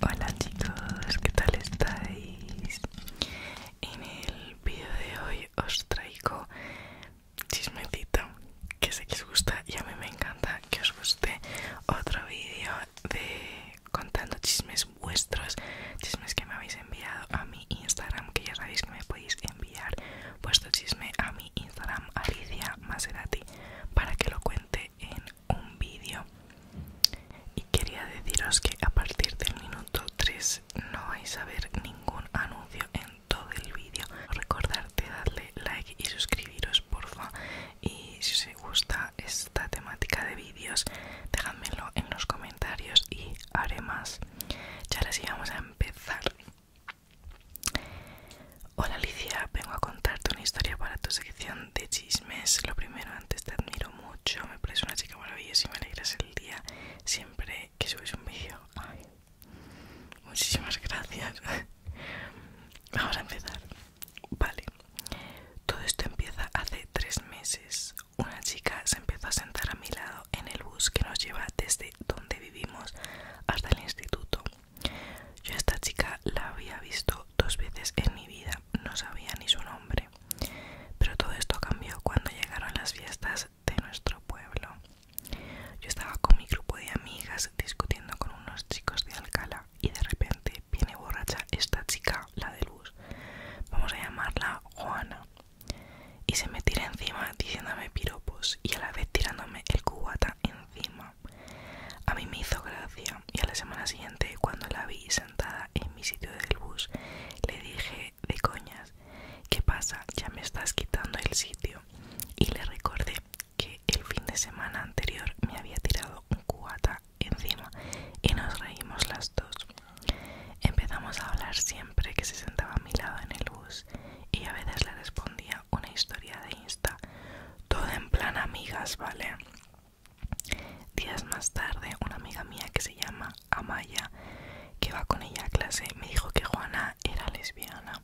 Hola chicos, ¿qué tal estáis? En el vídeo de hoy os traigo chismecito que sé que os gusta y a mí me encanta que os guste otro vídeo de contando chismes vuestros, chismes que me habéis enviado a mi Instagram, que ya sabéis que me podéis enviar vuestro chisme a mi Instagram, Alicia Maserati, para que lo cuente en un vídeo. Y quería deciros que a partir del minuto 3 no vais a ver ningún anuncio en todo el vídeo. Recordarte darle like y suscribiros, porfa y si os gusta esta temática de vídeos dejádmelo en los comentarios y haré más y ahora sí vamos a empezar Hola Alicia, vengo a contarte una historia para tu sección de chismes. Lo primero, antes te admiro mucho, me parece una chica maravillosa y me alegras el día siempre que subes un vídeo. Muchísimas gracias. Vamos a empezar. Vale, todo esto empieza hace tres meses. Una chica se empezó a sentar a mi lado en el bus que nos lleva desde donde vivimos hasta el instituto. Yo a esta chica la había visto dos veces en mi vida, no sabía ni su nombre. Pero todo esto cambió cuando llegaron las fiestas de nuestro pueblo. Yo estaba con mi grupo de amigas discutiendo con unos chicos de Alcalá y de repente viene borracha esta chica, la de luz, vamos a llamarla Juana, y se me tira encima diciéndome piropos y a la vez tirándome el cubata encima. A mí me hizo gracia y a la semana siguiente cuando la vi sentada en mi sitio del bus le dije de coñas, ¿qué pasa? Ya me estás quitando el sitio. Y le recordé que el fin de semana anterior me había tirado un cubata encima y nos reímos las dos. Empezamos a hablar siempre que se sentaba a mi lado en el bus y a veces le respondía una historia de Insta, todo en plan amigas, ¿vale? Días más tarde, una amiga mía que se llama Amaya, que va con ella a clase, me dijo que Juana era lesbiana.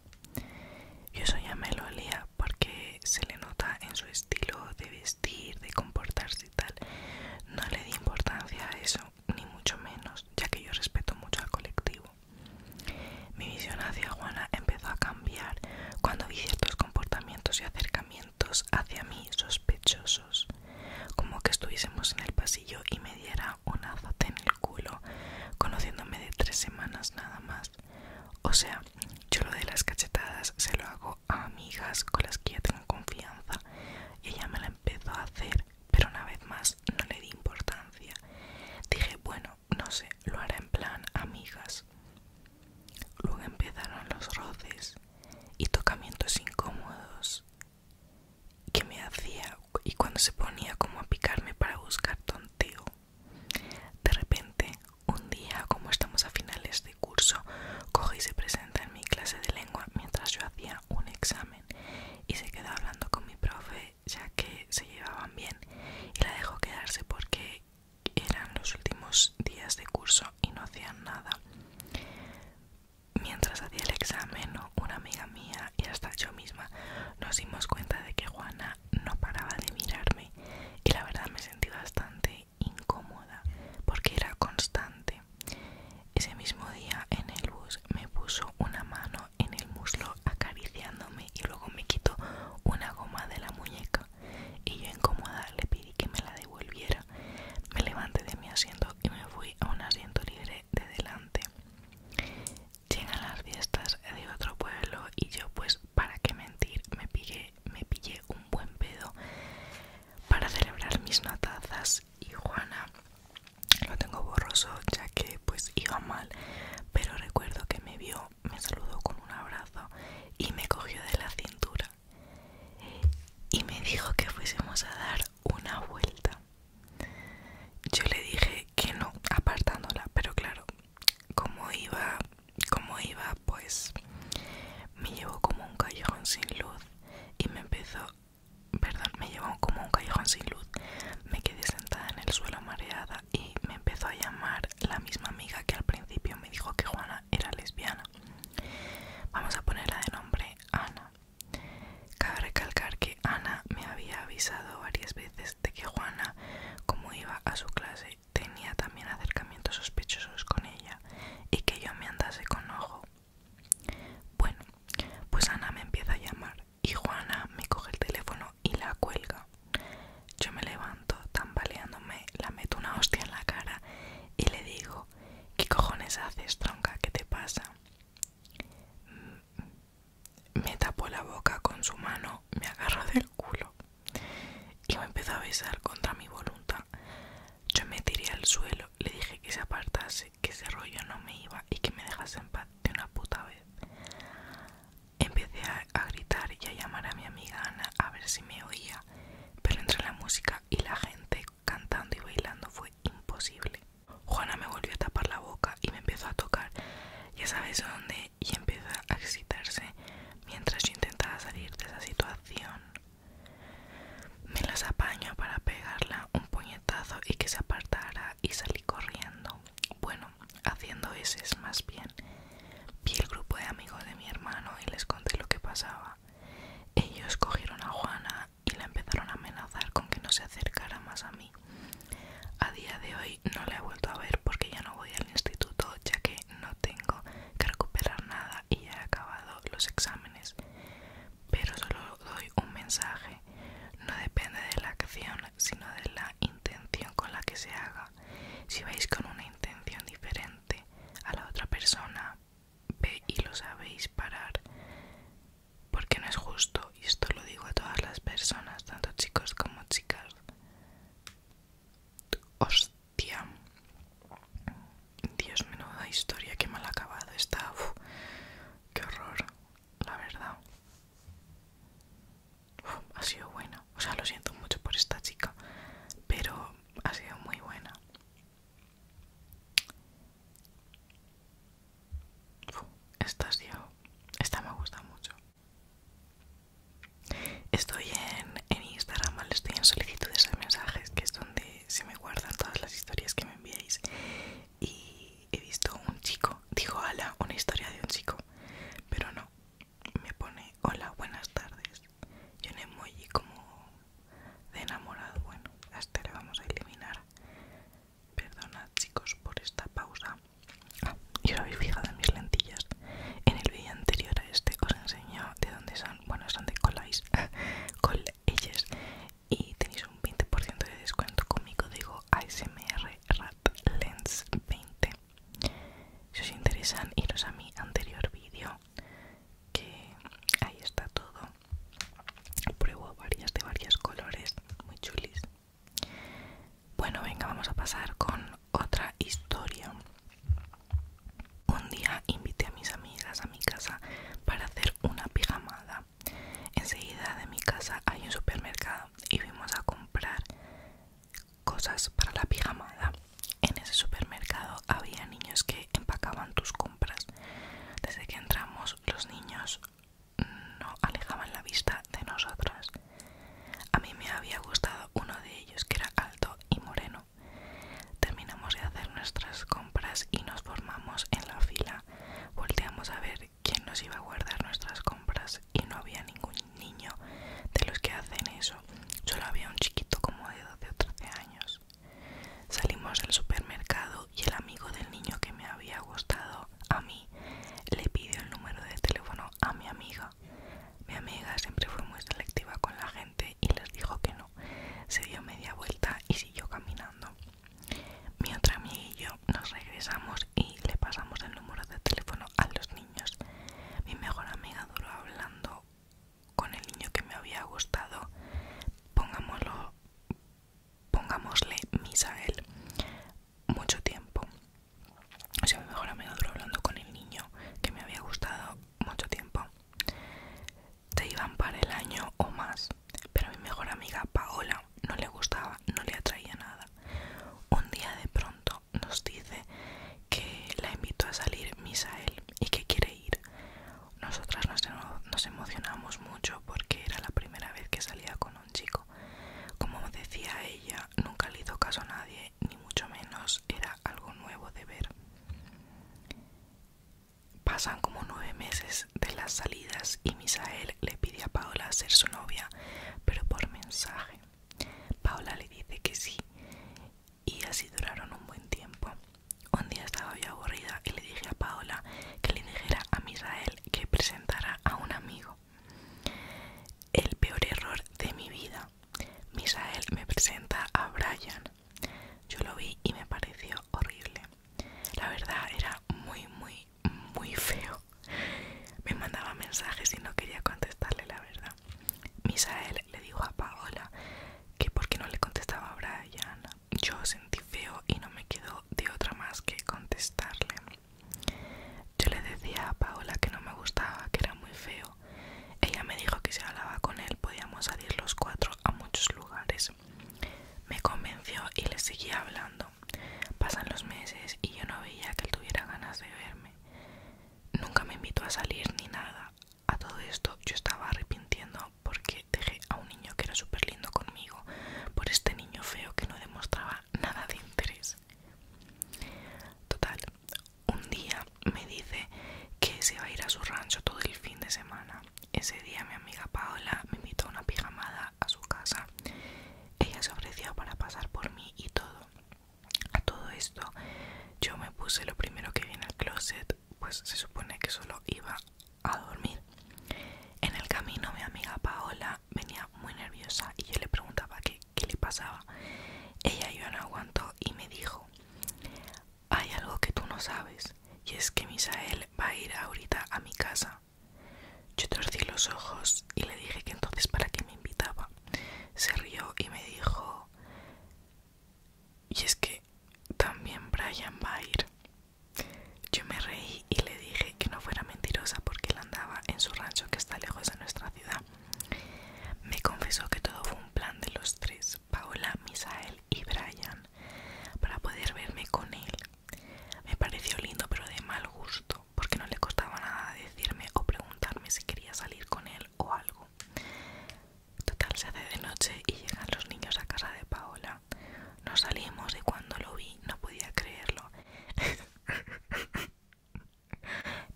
Yo eso ya olía porque se le nota en su estilo de vestir, de comportarse y tal. No le di importancia a eso, ni mucho menos, ya que yo respeto mucho al colectivo. Mi visión hacia Juana empezó a cambiar cuando vi ciertos comportamientos y acercamientos hacia mí sospechosos, como que estuviésemos en el pasillo y me diera un azote en el culo, conociéndome de tres semanas nada más. O sea, yo lo de las cachetadas se lo hago a amigas con las que ya tengo confianza y ella me la empezó a hacer, pero una vez más no le di importancia. Dije, bueno, no sé, lo haré en plan amigas. Luego empezaron los roces y tocamientos incómodos que me hacía y cuando se ponía como a picarme para buscar tonteo de repente, un día, como estamos a finales de curso, coge y se presenta en mi clase de lengua mientras yo hacía un examen y se quedó hablando con mi profe ya que se llevaban bien y la dejó quedarse porque eran los últimos días de curso y no hacían nada. Mientras hacía el examen, una amiga mía y hasta yo misma nos dimos cuenta de que Juana no paraba de mirarme y la verdad me sentí bastante incómoda porque era constante. Ese mismo día en el bus me puso una mano en el muslo acariciándome y luego me quitó una goma de la muñeca y yo incómoda le pedí que me la devolviera. Me levanté de mi asiento y me fui a un asiento libre de delante. Llegan las fiestas de otro pueblo y yo pues para qué mentir, me pillé, me pillé un buen pedo para celebrar mis notazas y Juana lo tengo borroso ya que pues iba mal, pero recuerdo que me vio, me saludó con un abrazo y me cogió de la cintura y me dijo que fuésemos a dar una vuelta. Yo le dije que no, apartándola, pero claro, como iba como iba pues me llevó como un callejón sin luz y me empezó perdón me llevó como un callejón sin luz me quedé sentada en el suelo mareada y me empezó a llamar la misma amiga que al principio me dijo que Juana era lesbiana vamos a ponerla de nombre Ana cabe recalcar que Ana me había avisado varias veces de que Juana como iba a su clase tenía también acercamientos sospechosos con ella y que yo me andase con ojo. Bueno, pues Ana me empieza a llamar y Juana me coge el teléfono y la cuelga. Yo me levanto tambaleándome, la meto una hostia en la cara y le digo, ¿qué cojones haces, tronca? ¿Qué te pasa? Mm, me tapó la boca con su mano, me agarró de culo y me empezó a besar contra mi voluntad. Yo me tiré al suelo, le dije que se apartase, que ese rollo no me iba y que me dejase en paz de una puta vez. Empecé a, a gritar y a llamar a mi amiga Ana a ver si me oía, pero entre la música y la gente cantando y bailando fue imposible. Juana me volvió a tapar la boca y me empezó a tocar. Ya sabes dónde y empieza a excitarse mientras yo intentaba salir de esa situación. Me las apaño para pegarla un puñetazo y que se apartara y salí corriendo. Bueno, haciendo ese es más bien. Vi el grupo de amigos de mi hermano y les conté lo que pasaba. Ellos cogieron a Juana y la empezaron a amenazar con que no se acercara más a mí. A día de hoy no la he vuelto a ver porque ya no voy al instituto, ya que no tengo que recuperar nada y he acabado los exámenes, pero solo doy un mensaje. No depende de la acción, sino de la intención con la que se haga. Si vais con una intención diferente a la otra persona, ve y lo sabéis parar. Porque no es justo, y esto lo digo a todas las personas, tanto chicos como chicas. Os Tía, Dios, menuda historia, qué mal acabado está. qué horror, la verdad. ha sido buena. O sea, lo siento mucho por esta chica, pero ha sido muy buena. esta, ha esta me gusta mucho. Estoy en, Instagram, estoy en solicitudes de mensajes, que es donde se me guardan todas las historias que me enviáis. Y he visto un chico, dijo ala, una historia de un chico, pero no, me pone, hola, buenas tardes. Yo un emoji como de enamorado, bueno, hasta este le vamos a eliminar. Perdonad chicos por esta pausa. Ah, y habéis fijado en mis lentillas. En el vídeo anterior a este os enseño de dónde son, bueno, son de Colais, con y tenéis un 20% de descuento con mi código ASMR Lens 20. Si os interesan, iros a mi anterior vídeo que ahí está todo. Pruebo varias de varios colores, muy chulis. Bueno, venga, vamos a pasar con otra historia. Un día invité a mis amigas a mi casa para hacer una pijamada. Enseguida de mi casa hay un supermercado y fuimos a comprar cosas para la pijamada. En ese supermercado había niños que empacaban tus compras. Desde que entramos los niños no alejaban la vista de nosotros. A mí me había gustado uno de ellos que era alto y moreno. Terminamos de hacer nuestras compras y nos formamos en la fila. Volteamos a ver quién nos iba a guardar nuestras compras y no había ningún niño de los que hacen eso. Solo había un chiquito como de 12 o 13 años. Salimos del supermercado y el amigo del niño que me había gustado a mí le pidió el número de teléfono a mi amiga. Mi amiga siempre fue muy selectiva con la gente y les dijo que no. Se dio media vuelta y siguió caminando. Mi otra amiga y yo nos regresamos y le pasamos el número de teléfono a los niños. Mi mejor amiga duró hablando con el niño que me había gustado. Pongámoslo, pongámosle él Mucho tiempo. O sea, mi mejor amiga duró hablando con el niño que me había gustado mucho tiempo. Te iban para el año o más, pero mi mejor amiga Paola no le gustaba, no le atraía nada. Un día de pronto nos dice que la invito a salir Misael y que quiere ir. Nosotras nos, nos emocionamos mucho porque era la primera vez que salía con un chico. Como decía ella, nunca le hizo caso a nadie ni mucho menos era algo nuevo de ver. Pasan como nueve meses de las salidas y Misael le pide a Paola ser su novia, pero por mensaje. Paola le dice que sí y así duraron un buen tiempo. Un día estaba yo aburrida y le dije a Paola que le dijera a Misael que presentara a un amigo. El peor error de mi vida. Misael me presenta a Brian. Yo lo vi y me pareció horrible. La verdad era muy, muy, muy feo. Me mandaba mensajes y no quería contestarle la verdad. Misael le dijo a Paola que por no le contestaba a Brian. Yo sentí feo y no me quedó de otra más que contestarle. Yo le decía a Paola que no me gustaba, que era muy feo ella me dijo que si hablaba con él podíamos salir los cuatro a muchos lugares. Me convenció y le seguía hablando. Pasan los meses y yo no veía que él tuviera ganas de verme. Nunca me invitó a salir ni nada. A todo esto yo estaba arrepintiendo porque dejé a un niño que era súper lindo conmigo por este niño feo que no demostraba nada de interés. Total, un día me dice que se va a ir a su rancho todo el fin de semana. Ese día mi amiga Paola me invitó a una pijamada a su casa. Ella se ofreció para pasar por mí y todo. A todo esto yo me puse lo primero que vi en el closet, pues se supone que solo iba a dormir. En el camino mi amiga Paola venía muy nerviosa y yo le preguntaba qué qué, le pasaba. Ella yo no aguantó y me dijo, hay algo que tú no sabes, y es que Misael va a ir ahorita a mi casa. Yo torcí los ojos y le dije que entonces para qué me invitaba. Se rió y me dijo, y es que también Brian va a ir. Yo me reí y le dije que no fuera mentirosa porque él andaba en su rancho que está lejos de nuestra ciudad. Me confesó que todo fue plan de los tres, Paola, Misael y Brian, para poder verme con él. Me pareció lindo pero de mal gusto, porque no le costaba nada decirme o preguntarme si quería salir con él o algo. Total, se hace de noche y llegan los niños a casa de Paola. Nos salimos y cuando lo vi no podía creerlo.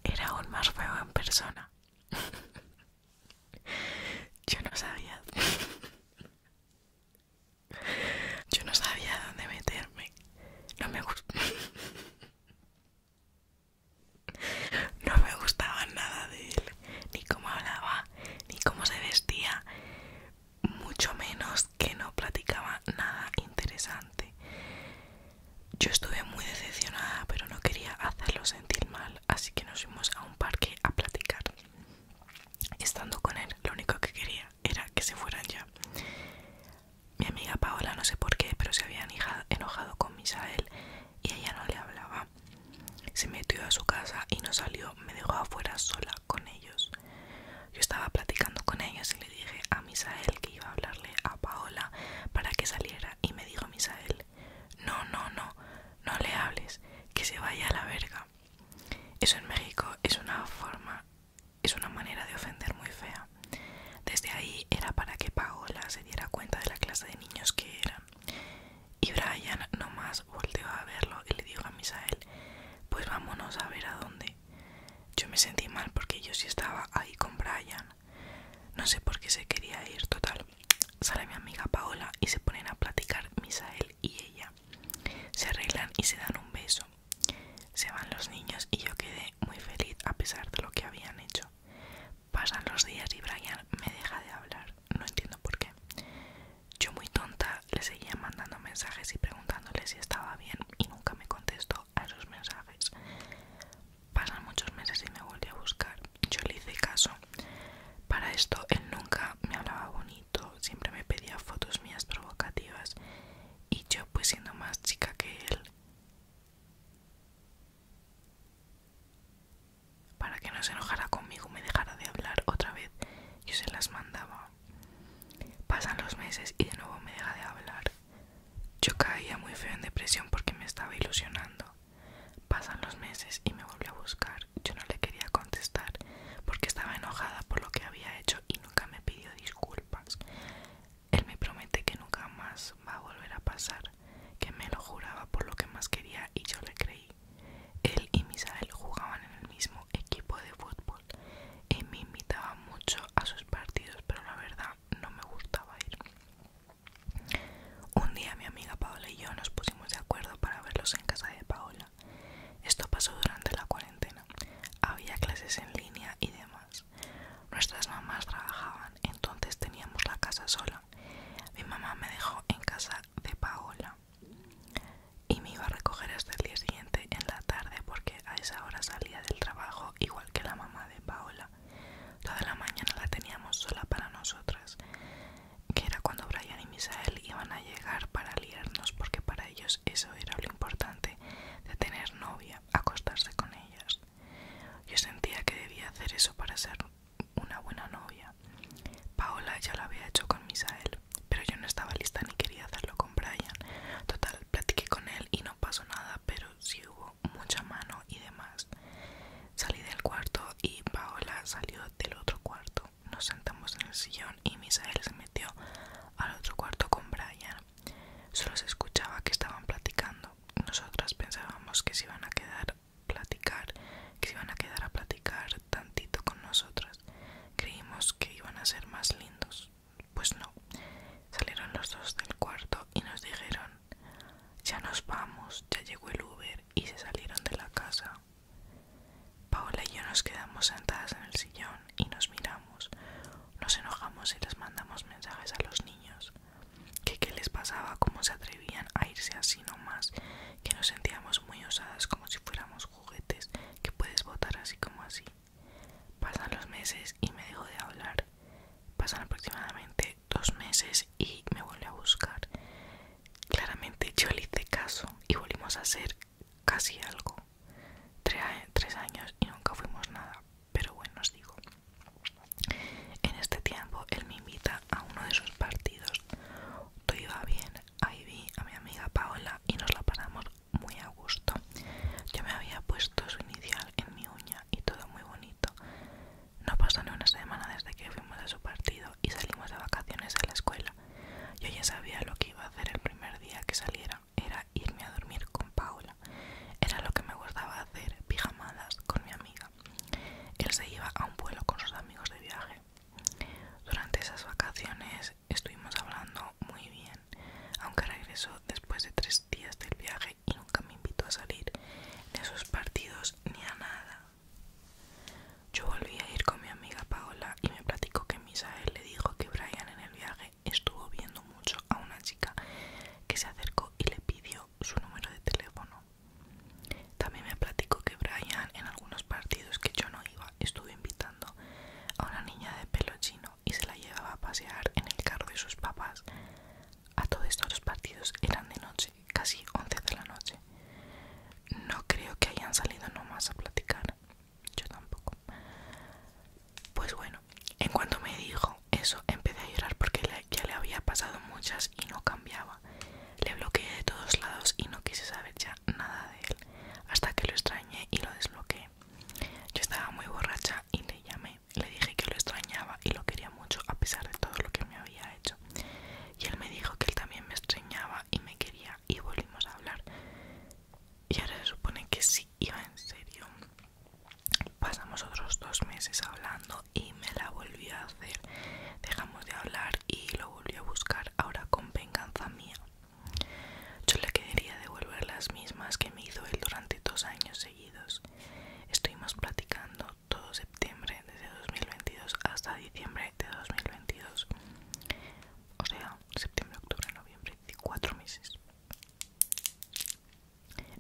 Era aún más feo en persona. Yo no sabía. Yo no sabía dónde meterme. No me gustó. No me gustaba nada de él, ni cómo hablaba, ni cómo se vestía, mucho menos que no platicaba nada interesante. Yo estuve muy decepcionada, pero no quería hacerlo sentir mal, así que nos fuimos a un parque a platicar. Estando con él, lo único que quería era que se fueran ya. Mi amiga Paola, no sé por qué, pero se había enojado con Misael y ella no le hablaba. Se metió a su casa y no salió, me dejó afuera sola con ellos. Yo estaba platicando con ellos y le dije a Misael que iba a hablarle a Paola para que saliera y me dijo Misael, no, no, no, no le hables, que se vaya a la verga. Eso en México es una forma, es una manera de ofender muy fea. Desde ahí era para que Paola se diera cuenta de la clase de niños que eran. Y Brian nomás volteó a verlo y le dijo a Misael, pues vámonos a ver a dónde. Yo me sentí mal porque yo sí estaba ahí con Brian. No sé por qué se quería ir, total. Sale mi amiga Paola y se ponen a platicar Misael y ella. Se arreglan y se dan un beso. Se van los niños y yo quedé muy feliz a pesar de lo que habían hecho. Pasan los días y Brian me deja de hablar, no entiendo por qué. Yo muy tonta le seguía mandando mensajes y preguntándole si estaba bien y nunca me contestó a sus mensajes. Pasan muchos meses y me volví a buscar. Yo le hice caso. Para esto él nunca me hablaba bonito, siempre me pedía fotos mías provocativas y yo pues siendo más chica que él. Para que no se enojara conmigo, me dejara de hablar otra vez, yo se las mandaba. Pasan los meses y de nuevo me deja de hablar. Yo caía muy feo en depresión porque me estaba ilusionando. Pasan los meses y me volvió a buscar. Yo no le quería contestar porque estaba enojada por lo que había hecho y nunca me pidió disculpas. Él me promete que nunca más va a volver a pasar, que me lo juraba por lo que más quería y yo le creí. Él y Misael jugaban en el mismo equipo de fútbol y me invitaba mucho a sus partidos, pero la verdad no me gustaba ir. Un día mi amiga Paola y yo nos pusimos de acuerdo para verlos en casa de Paola. Esto pasó durante la cuarentena. Había clases en línea y demás. Nuestras mamás trabajaban, entonces teníamos la casa sola. Mi mamá me dejó en casa de Paola y me iba a recoger hasta el día siguiente en la tarde porque a esa hora salía del trabajo igual que la mamá de Paola. Toda la mañana la teníamos sola para nosotras, que era cuando Brian y Misael iban a llegar para liarnos, porque para ellos eso era lo importante de tener novia, acostarse con ellas. Yo sentía que debía hacer eso para ser una buena novia. Paola ya lo había hecho con Misael, pero yo no estaba lista ni quería hacerlo con Brian. Total, platiqué con él y no pasó nada, pero sí hubo mucha mano y demás. Salí del cuarto y Paola salió del otro cuarto. Nos sentamos en el sillón y Misael se metió al otro cuarto con Brian. Solo se escuchaba que estaban platicando. Nosotras pensábamos que se iban a quedar platicar, que se iban a quedar a platicar tantito con nosotras. Creímos que iban a ser más lindos. Pues no. Salieron los dos del cuarto y nos dijeron ya nos vamos, ya llegó el Uber y se salieron de la casa. Paola y yo nos quedamos sentadas en el sillón y nos miramos. Nos enojamos y les mandamos mensajes a los niños. Que qué les pasaba, cómo se atrevían a irse así nomás, que nos sentíamos muy osadas como si fuéramos juguetes, que puedes votar así como así. Pasan los meses y me dejo de hablar. Pasan aproximadamente dos meses y me vuelve a buscar. Claramente yo le hice caso y volvimos a ser casi algo. Tres, tres años y nunca fuimos nada. Pero bueno, os digo. En este tiempo él me invita a uno de sus partidos. Todo iba bien. Ahí vi a mi amiga Paola y nos la paramos muy a gusto. Yo me había puesto su inicial en mi uña y todo muy bonito. No pasó ni una semana desde que fuimos a su partido y salimos de vacaciones a la escuela. Yo ya sabía lo que iba a hacer el primer día que saliera, era irme a dormir con Paula. Era lo que me gustaba hacer, pijamadas con mi amiga. Él se iba a un vuelo con sus amigos de viaje. Durante esas vacaciones estuvimos hablando muy bien, aunque regresó después de tres días del viaje y nunca me invitó a salir de esos partidos ni a nada. Yo volví a ir con mi amiga Paola y me platicó que Misael le dijo que Brian en el viaje estuvo viendo mucho a una chica que se acercó y le pidió su número de teléfono. También me platicó que Brian en algunos partidos que yo no iba estuvo invitando a una niña de pelo chino y se la llevaba a pasear en el carro de sus papás a todo esto los partidos eran de noche, casi 11 de la noche. No creo que hayan salido nomás a platicar. Yo tampoco. Pues bueno, en cuanto me dijo eso, empecé a llorar porque ya le había pasado muchas y no cambiaba. Le bloqueé de todos lados y no quise saber ya nada de él, hasta que lo extrañé y lo desbloqueé. Yo estaba muy borracha y le llamé le dije que lo extrañaba y lo quería mucho a pesar de todo lo que me había hecho. Y él me dijo que él también me extrañaba y me quería y volvimos a hablar. Y ahora se supone que sí iba en serio. Pasamos otros dos meses hablando y me la volvió a hacer. Dejamos de hablar y lo volvió a buscar ahora con venganza mía. Yo le quería devolver las mismas que me hizo él durante dos años seguidos. Estuvimos platicando todo septiembre desde 2022 hasta diciembre de 2022 o sea septiembre octubre noviembre cuatro meses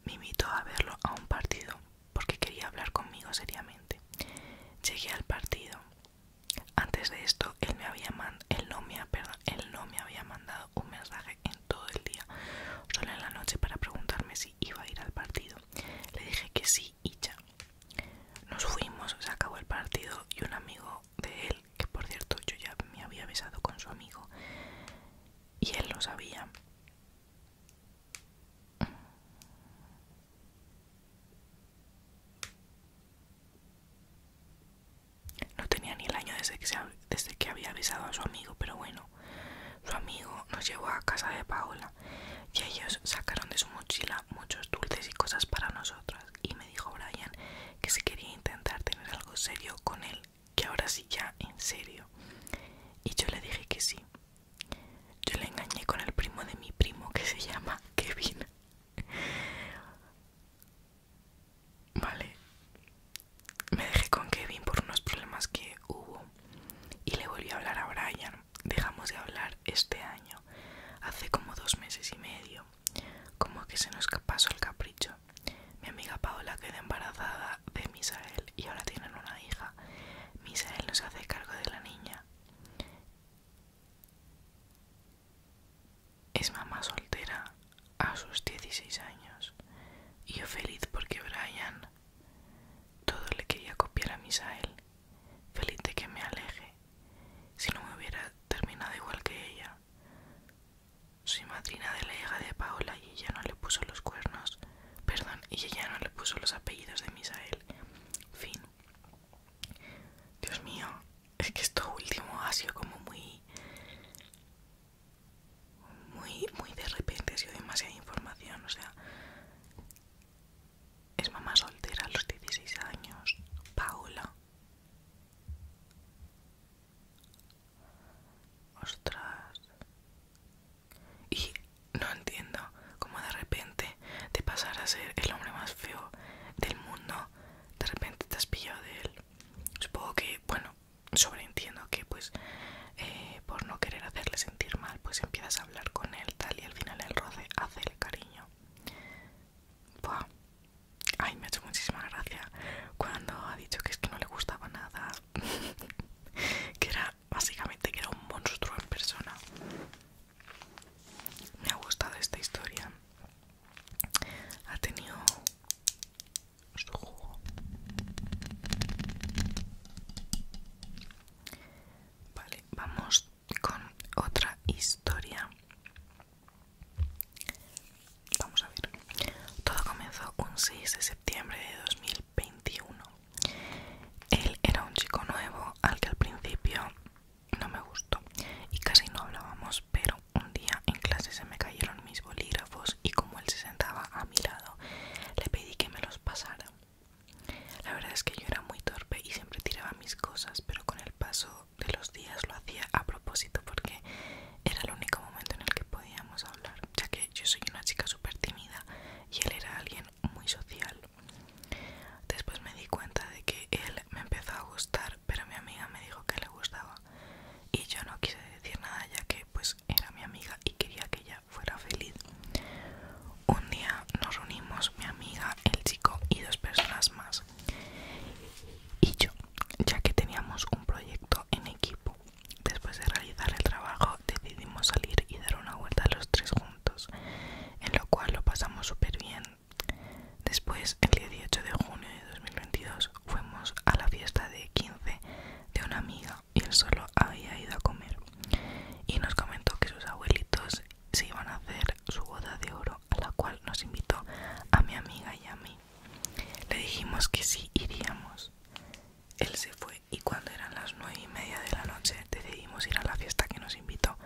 me invitó a verlo a un partido porque quería hablar conmigo seriamente llegué al partido antes de esto él me había no me él no me había mandado un mensaje en todo el día, solo en la noche para preguntarme si iba a ir al partido. Le dije que sí y ya. Nos fuimos, se acabó el partido y un amigo de él, que por cierto yo ya me había besado con su amigo y él lo sabía. No tenía ni el año desde que, desde que había besado a su amigo, pero bueno, su amigo nos llevó a casa de Paola y ellos sacaron de su mochila muchos dulces y cosas para nosotros y me dijo Brian que se quería intentar tener algo serio con él, que ahora sí ya en serio. Y yo le dije que sí. Yo le engañé con el primo de mi primo que se llama Kevin. Vale, me dejé con Kevin por unos problemas que hubo y le volví a hablar a Brian. Dejamos de hablar este año, hace como dos meses y medio, como que se nos pasó el capricho. Mi amiga Paola quedó embarazada de Misael y ahora tienen una hija. Misael nos hace cargo de la niña. Es mamá soltera a sus 16 años. Y yo feliz porque Brian todo le quería copiar a Misael, feliz de que me aleje, si no me hubiera terminado igual que ella. Soy madrina de la hija de Paola y ella no le puso los cuernos, perdón, y ella no le puso los apellidos de Misael. Fin. Dios mío, es que esto último ha sido como muy muy, muy de repente ha sido demasiada información, o sea, es mamá soltera a los 16 años, Paula Ostras. Y no entiendo cómo de repente de pasar a ser el hombre más feo del mundo, de repente te has pillado de él. Supongo que, bueno, sobreentiendo que pues eh, por no querer hacerle sentir mal pues empiezas a hablar con él tal y al final el roce hace el cariño ay me ha hecho muchísima gracia cuando ha dicho que es que no le gustaba nada que era básicamente que era un monstruo en persona me ha gustado esta historia ha tenido su jugo vale vamos con otra historia vamos a ver todo comenzó un 6 de septiembre de 2021 él era un chico nuevo al que al principio no me gustó y casi no hablábamos pero un día en clase se me cayeron mis bolígrafos y como él se sentaba a mi lado, le pedí que me los pasara. La verdad es que yo era muy torpe y siempre tiraba mis cosas, pero con el paso de los días lo hacía a propósito porque era el único momento en el que podíamos hablar, ya que yo soy una chica súper tímida y él era alguien muy social. Después me di cuenta de que él me empezó a gustar, pero mi amiga me dijo que le gustaba y yo no quise decir nada ya que pues era mi amiga y quería que ella fuera feliz. Un día nos reunimos mi amiga, el chico y dos personas más. Y yo, ya que teníamos un proyecto en equipo, después de realizar el trabajo decidimos salir y dar una vuelta los tres juntos, en lo cual lo pasamos súper bien. Después, el día 18 de junio de 2022, fuimos a la fiesta de 15 de una amiga y él solo había ido a comer. Y nos comentó que sus abuelitos se iban a hacer su boda de oro, a la cual nos invitó a mi amiga y a mí. Le dijimos que sí iríamos. Él se fue y cuando eran las nueve y media de la noche decidimos ir a la fiesta que nos invitó.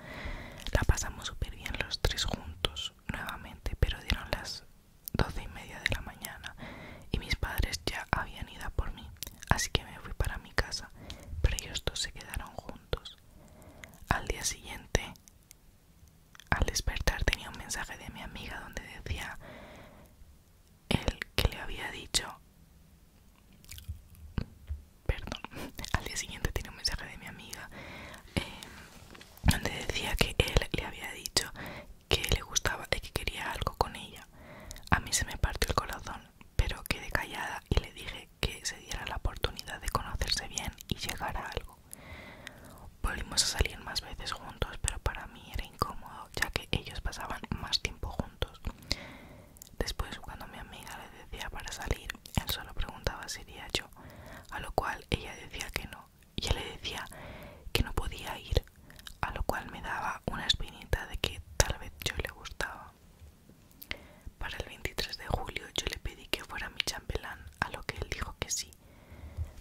La pasamos súper bien los tres juntos nuevamente, pero dieron las doce y media de la mañana y mis padres ya habían ido por mí. Así que me fui para mi casa, pero ellos dos se quedaron juntos. Al día siguiente, al despertar tenía un mensaje de mi amiga donde decía el que le había dicho perdón al día siguiente tenía un mensaje de mi amiga eh, donde decía que él le había dicho que le gustaba y que quería algo con ella. A mí se me partió el corazón, pero quedé callada y le dije que se diera la oportunidad de conocerse bien y llegar a algo. Volvimos a salir más veces juntos, pero para mí era incómodo, ya que ellos pasaban más tiempo juntos. Después, cuando mi amiga le decía para salir, él solo preguntaba si iría yo, a lo cual ella decía que no. Y él le decía que no podía ir a lo cual me daba una espinita de que tal vez yo le gustaba. Para el 23 de julio yo le pedí que fuera mi chambelán, a lo que él dijo que sí.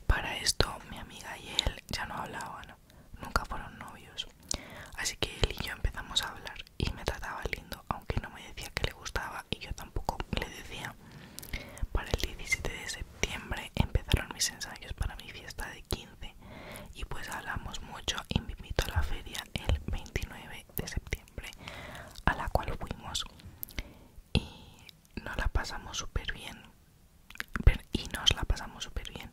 Para esto mi amiga y él ya no hablaban, nunca fueron novios. Así que él y yo empezamos a hablar y me trataba lindo, aunque no me decía que le gustaba y yo tampoco le decía. Para el 17 de septiembre empezaron mis ensayos para mi fiesta de 15 y pues hablamos mucho y me invitó a la feria el 29 de septiembre a la cual fuimos y la pasamos bien y nos la pasamos súper bien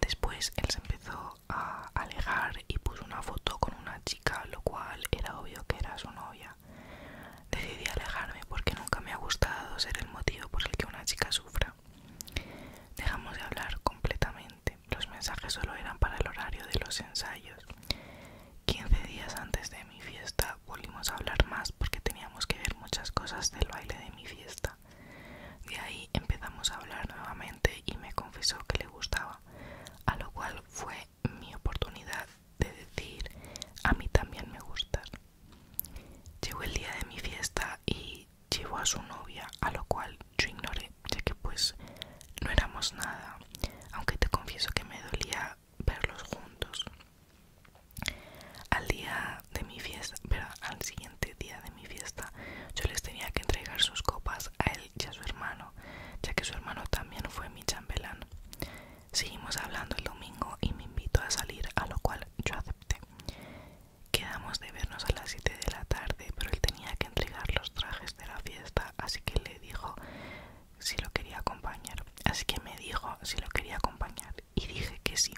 después él se empezó a alejar y puso una foto con una chica lo cual era obvio que era su novia decidí alejarme porque nunca me ha gustado ser el motivo por el que una chica sufra Dejamos de hablar completamente. Los mensajes solo eran para el horario de los ensayos. 15 días antes de mi fiesta volvimos a hablar más porque teníamos que ver muchas cosas del baile de mi fiesta. De ahí empezamos a hablar nuevamente y me confesó que le gustaba, a lo cual fue mi oportunidad de decir a mí también me gustas. Llegó el día de mi fiesta y llevó a su novia, a lo cual yo ignoré, ya que pues no éramos nada, aunque te confieso que me dolía verlos juntos. Al día de mi fiesta, pero al siguiente día de mi fiesta, yo les tenía que entregar sus copas a él y a su hermano, ya que su hermano también fue mi chambelán. Seguimos hablando el domingo y me invitó a salir, a lo cual yo acepté. Quedamos de vernos a las 7 de la tarde, pero él tenía que entregar los trajes de la fiesta, así que le dijo si lo quería acompañar. Así que me dijo si lo quería acompañar y dije que sí.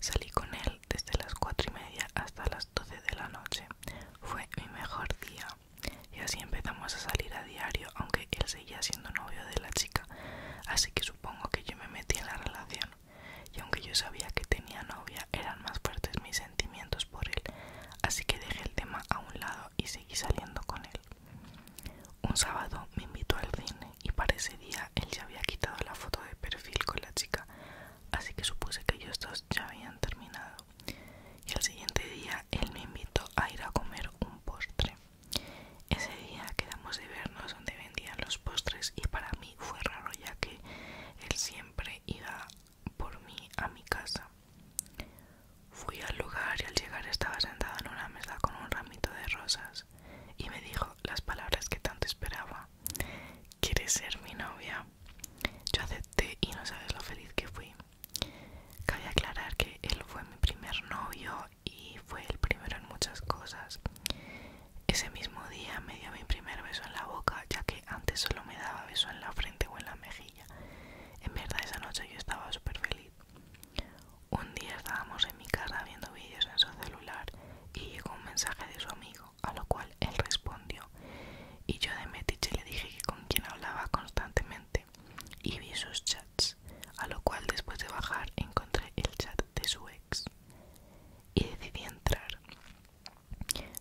Salí con él desde las 4 y media hasta las 12 de la noche. Fue mi mejor día. Y así empezamos a salir a diario, aunque él seguía siendo novio de la chica. Así que supongo que yo me metí en la relación y aunque yo sabía que tenía novia, eran más fuertes mis sentimientos por él, así que dejé el tema a un lado y seguí saliendo con él. Un sábado me invitó al cine y para ese día él ya había quitado la foto de perfil con la chica, así que supuse que ellos dos ya habían terminado. Y al siguiente día él me invitó a ir a comer un postre. Ese día quedamos de vernos donde vendían los postres y para mí fue raro ya que él siempre iba por mí a mi casa. Fui al lugar y al llegar estaba sentado en una mesa con un ramito de rosas y me dijo las palabras que tanto esperaba. ¿Quieres ser mi novia? Yo acepté y no sabes lo feliz que fui. Cabe aclarar que él fue mi primer novio y fue el primero en muchas cosas. Ese mismo día me dio mi primer beso en la boca, ya que antes solo me daba beso en la frente o en la mejilla. En verdad esa noche yo estaba súper feliz. Un día estábamos en mi casa viendo vídeos en su celular y llegó un mensaje de su amigo, a lo cual él respondió. Y yo de metiche le dije que con quien hablaba constantemente y vi sus chats, a lo cual después de bajar encontré el chat de su ex y decidí entrar.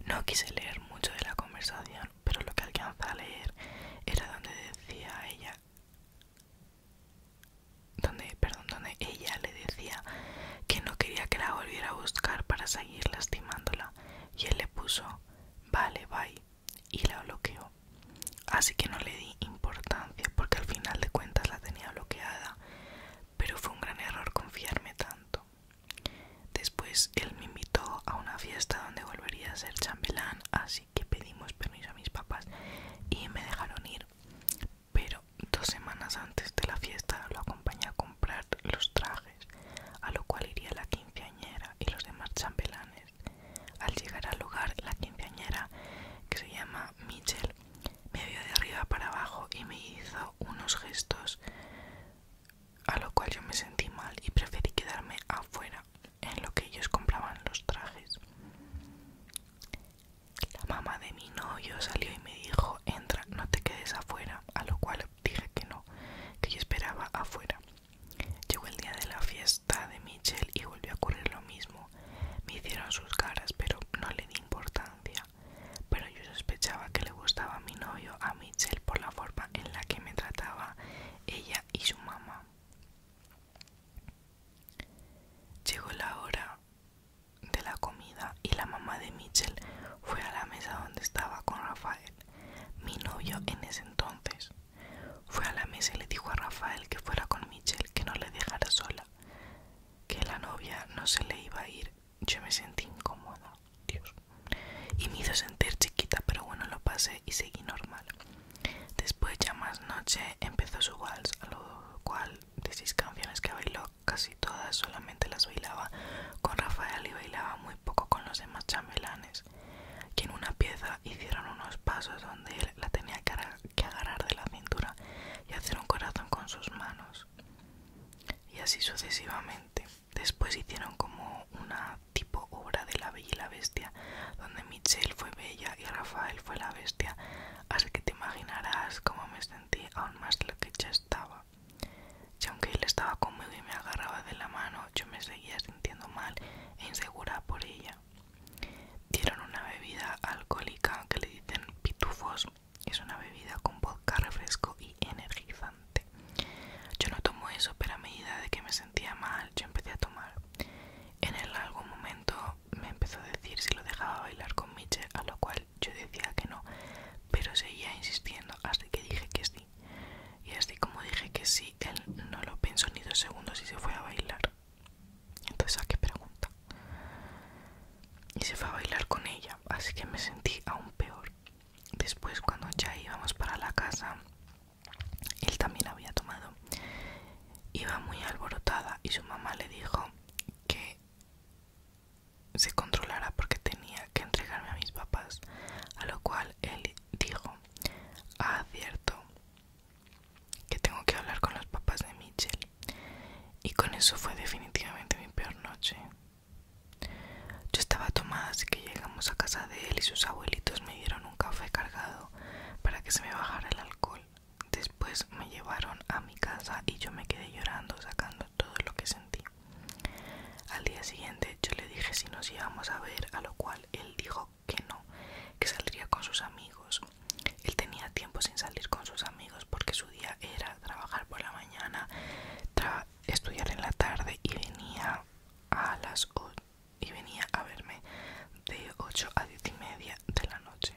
No quise leer mucho de la conversación, pero lo que alcanzé a leer era donde decía ella donde, perdón, donde ella le decía que no quería que la volviera a buscar para seguir lastimándola y él le puso vale bye y la bloqueó. Así que no le di importancia porque al final de cuentas la tenía bloqueada pero fue un gran error confiarme tanto. Después él me invitó a una fiesta donde volvería a ser chambelán, así que pedimos permiso a mis papás y me dejaron ir. Pero dos semanas antes de la fiesta lo acompañé a comprar los trajes, a lo cual iría la quinceañera y los demás chambelanes. Al llegar al lugar, la quinceañera, que se llama Michelle me vio de arriba para abajo y me hizo unos gestos, a lo cual yo me sentí mal y preferí quedarme afuera, en lo que ellos compraban los trajes. La mamá de mi novio salió y me dijo, entra, no te quedes afuera, a lo cual dije que no, que yo esperaba afuera. Llegó el día de la fiesta de Michelle y volvió a ocurrir lo mismo. Me hicieron sus caras, pero no le di importancia pero yo sospechaba que le gustaba mi novio a Mitchell por la forma en la que me trataba ella y su mamá. Llegó la hora de la comida y la mamá de Mitchell fue a la mesa donde estaba con Rafael, mi novio en ese entonces. Fue a la mesa y le dijo a Rafael que fuera con Mitchell, que no le dejara sola, que la novia no se le iba a ir yo me sentí incómoda, Dios. Y me hizo sentir chiquita, pero bueno, lo pasé y seguí normal. Después, ya más noche, empezó su vals, a lo cual de seis canciones que bailó, casi todas solamente las bailaba con Rafael y bailaba muy poco con los demás chamelanes que en una pieza hicieron unos pasos donde él la tenía que agarrar de la cintura y hacer un corazón con sus manos. Y así sucesivamente. Después hicieron como una tipo obra de La Bella y la Bestia, donde Michelle fue Bella y Rafael fue la Bestia, así que te imaginarás cómo me sentí aún más lo que ya estaba. Y aunque él estaba conmigo y me agarraba de la mano, yo me seguía sintiendo mal e insegura por ella. Dieron una bebida alcohólica que le dicen pitufos es una bebida con vodka, refresco y energizante. Yo no tomo eso, pero a medida de que me sentía mal, yo empecé a tomar. En el largo momento me empezó a decir si lo dejaba bailar con Miche a lo cual yo decía que no, pero seguía insistiendo hasta que dije que sí. Y así como dije que sí, él no lo pensó ni dos segundos y se fue a bailar. Entonces, ¿a qué pregunta? y se fue a bailar con ella, así que me sentí aún peor. Después cuando ya íbamos para la casa, él también había tomado. Iba muy alborotada y su mamá le dijo que se controlara porque tenía que entregarme a mis papás, a lo cual él dijo, ah, cierto, que tengo que hablar con los papás de Mitchell. Y con eso fue definitivamente mi peor noche. Yo estaba tomada, así que llegamos a casa de él y sus abuelitos me dieron un café cargado para que se me bajara el alcohol. Después me llevaron a mi casa y yo me quedé llorando, sacando todo lo que sentí. Al día siguiente yo le dije si nos íbamos a ver, a lo cual él dijo que no, que saldría con sus amigos. Él tenía tiempo sin salir con sus amigos porque su día era trabajar por la mañana, estudiar en la tarde y venía a las y venía a verme de 8 a 10 y media de la noche.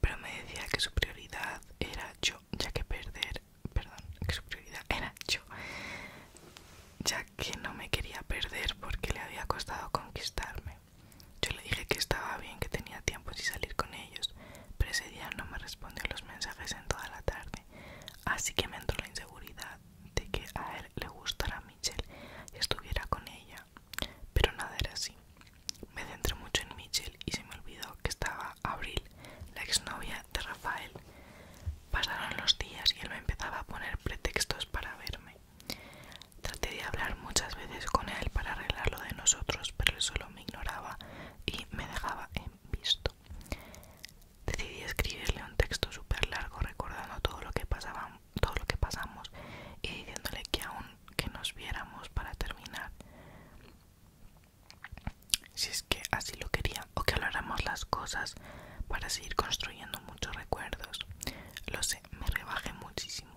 Pero me decía que su prioridad era yo, ya que perder, perdón, que su prioridad era yo, ya que no me quería perder porque le había costado conquistarme. Yo le dije que estaba bien, que tenía tiempo y salir con ellos, pero ese día no me respondió los mensajes en toda la tarde, así que me entró la inseguridad de que a él le gustara Mitchell y estuviera con ella, pero nada era así. Me centré mucho en Mitchell y se me olvidó que estaba Abril, la exnovia de Rafael. Pasaron los días y él me empezaba a poner pretextos para verme. Traté de hablar muchas veces con él para arreglar lo de nosotros, pero él solo me ignoraba y me dejaba en visto. Decidí escribirle un texto super largo recordando todo lo, que pasaba, todo lo que pasamos y diciéndole que aún que nos viéramos para terminar, si es que así lo quería, o que habláramos las cosas para seguir construyendo muchos recuerdos. Lo sé, me rebajé muchísimo.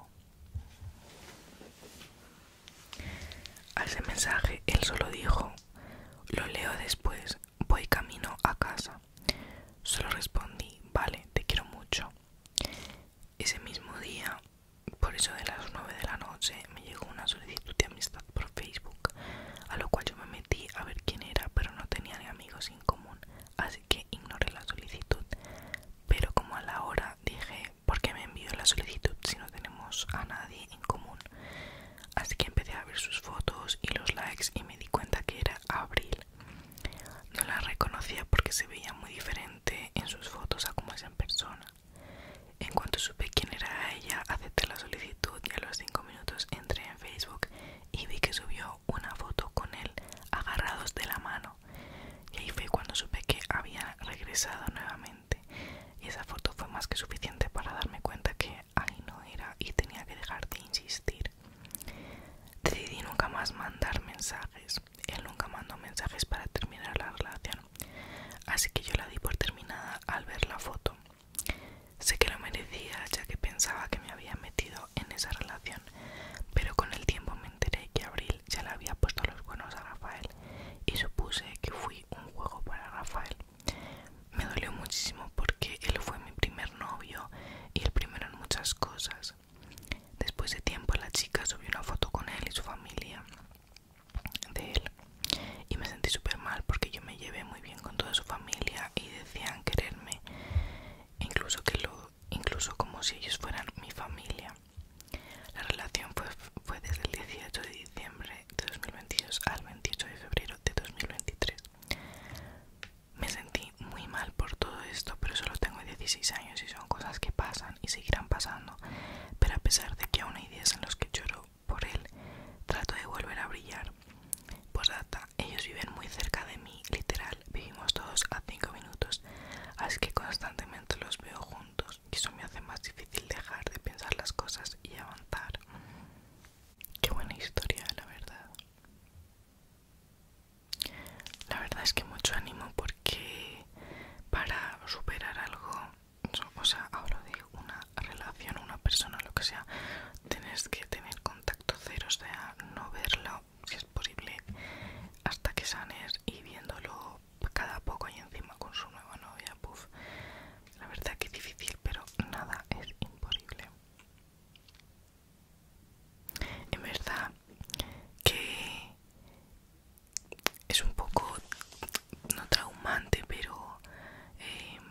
A ese mensaje él solo dijo, lo leo después, voy camino a casa. Solo respondí, vale, te quiero mucho. Ese mismo día, por eso de las 9 de la noche, me llegó una solicitud de amistad por Facebook, a lo cual yo me metí a ver quién era, pero no tenía amigos en común, así que ignoré la solicitud. Pero como a la hora dije, ¿Por qué me envió la solicitud si no tenemos a nadie en común. Así que empecé a ver sus fotos y los likes y me di cuenta que era Abril. No la reconocía porque se veía muy diferente en sus fotos a como es en persona. En cuanto supe quién era ella, acepté la solicitud y a los 5 minutos entré en Facebook y vi que subió una foto con él agarrados de la mano. Y ahí fue cuando supe que había regresado nuevamente. Y esa foto fue más que suficiente para darme cuenta que ahí no era y tenía que dejar de insistir. Decidí nunca más mandar mensajes. Él nunca mandó mensajes para terminar la relación. Así que yo la di por terminada al ver la foto. Sé que lo merecía ya que pensaba que me había metido en esa relación, pero con el tiempo me enteré que Abril ya le había puesto los buenos a Rafael y supuse que fui un juego para Rafael. Me dolió muchísimo porque él fue mi primer novio y el primero en muchas cosas. Después de tiempo la chica subió una foto con él y su familia de él y me sentí súper mal porque yo me llevé muy bien con toda su familia y decían quererme incluso que lo incluso como si ellos fueran mi familia la relación fue, desde el 18 de diciembre de 2022 al 28 de febrero de 2023. Me sentí muy mal por todo esto, pero solo tengo 16 años y son cosas que pasan y seguirán pasando. Pero a pesar de que aún hay días en los que lloro por él, trato de volver a brillar. Posdata, ellos viven muy cerca de mí, literal, vivimos todos a 5 minutos, así que constantemente los veo juntos eso me hace más difícil dejar de pensar las cosas y avanzar. Qué buena historia, la verdad. La verdad es que mucho ánimo porque para superar algo, o sea, hablo de una relación, una persona, lo que sea, tienes que tener contacto cero, o sea, no verlo si es posible hasta que sanes y viéndolo cada poco y encima con su nueva novia, puff. La verdad que es difícil, pero nada es imposible. En verdad que es un poco no traumante, pero em,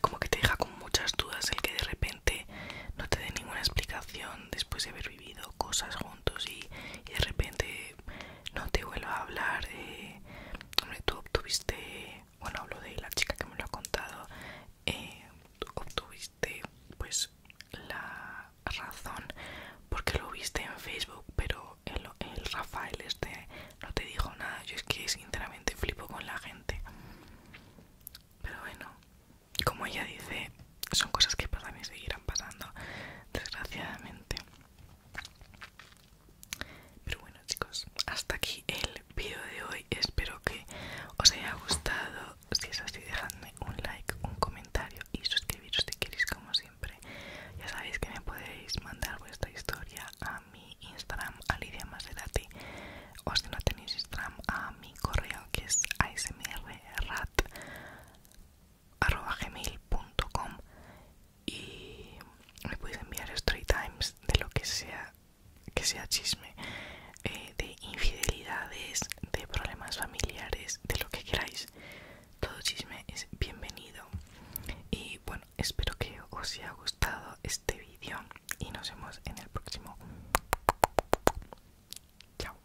como que te deja con muchas dudas el que de repente no te dé ninguna explicación después de haber vivido cosas juntos y, de repente no te vuelvo a hablar. de, eh, hombre, tú obtuviste, bueno, hablo de la chica que me lo ha contado, eh, obtuviste pues la razón porque lo viste en Facebook, pero el, el Rafael este no te dijo nada. Yo es que sinceramente flipo con la gente. Pero bueno, como ella dice, son cosas que para mí seguirán pasando, desgraciadamente. Pero bueno chicos, hasta aquí el vídeo de hoy. Espero que os haya gustado. Si es así, dejadme un like, un comentario y suscribiros si queréis como siempre. Ya sabéis que me podéis mandar vuestra historia a mi Instagram, Alidia Maserati, o si no tenéis Instagram, a mi correo que es asmrrat arroba gmail.com y me podéis enviar straight times de lo que sea que sea chisme eh, de infidelidades de problemas familiares de lo que queráis todo chisme es bienvenido y bueno espero que os haya gustado este vídeo y nos vemos en el próximo chao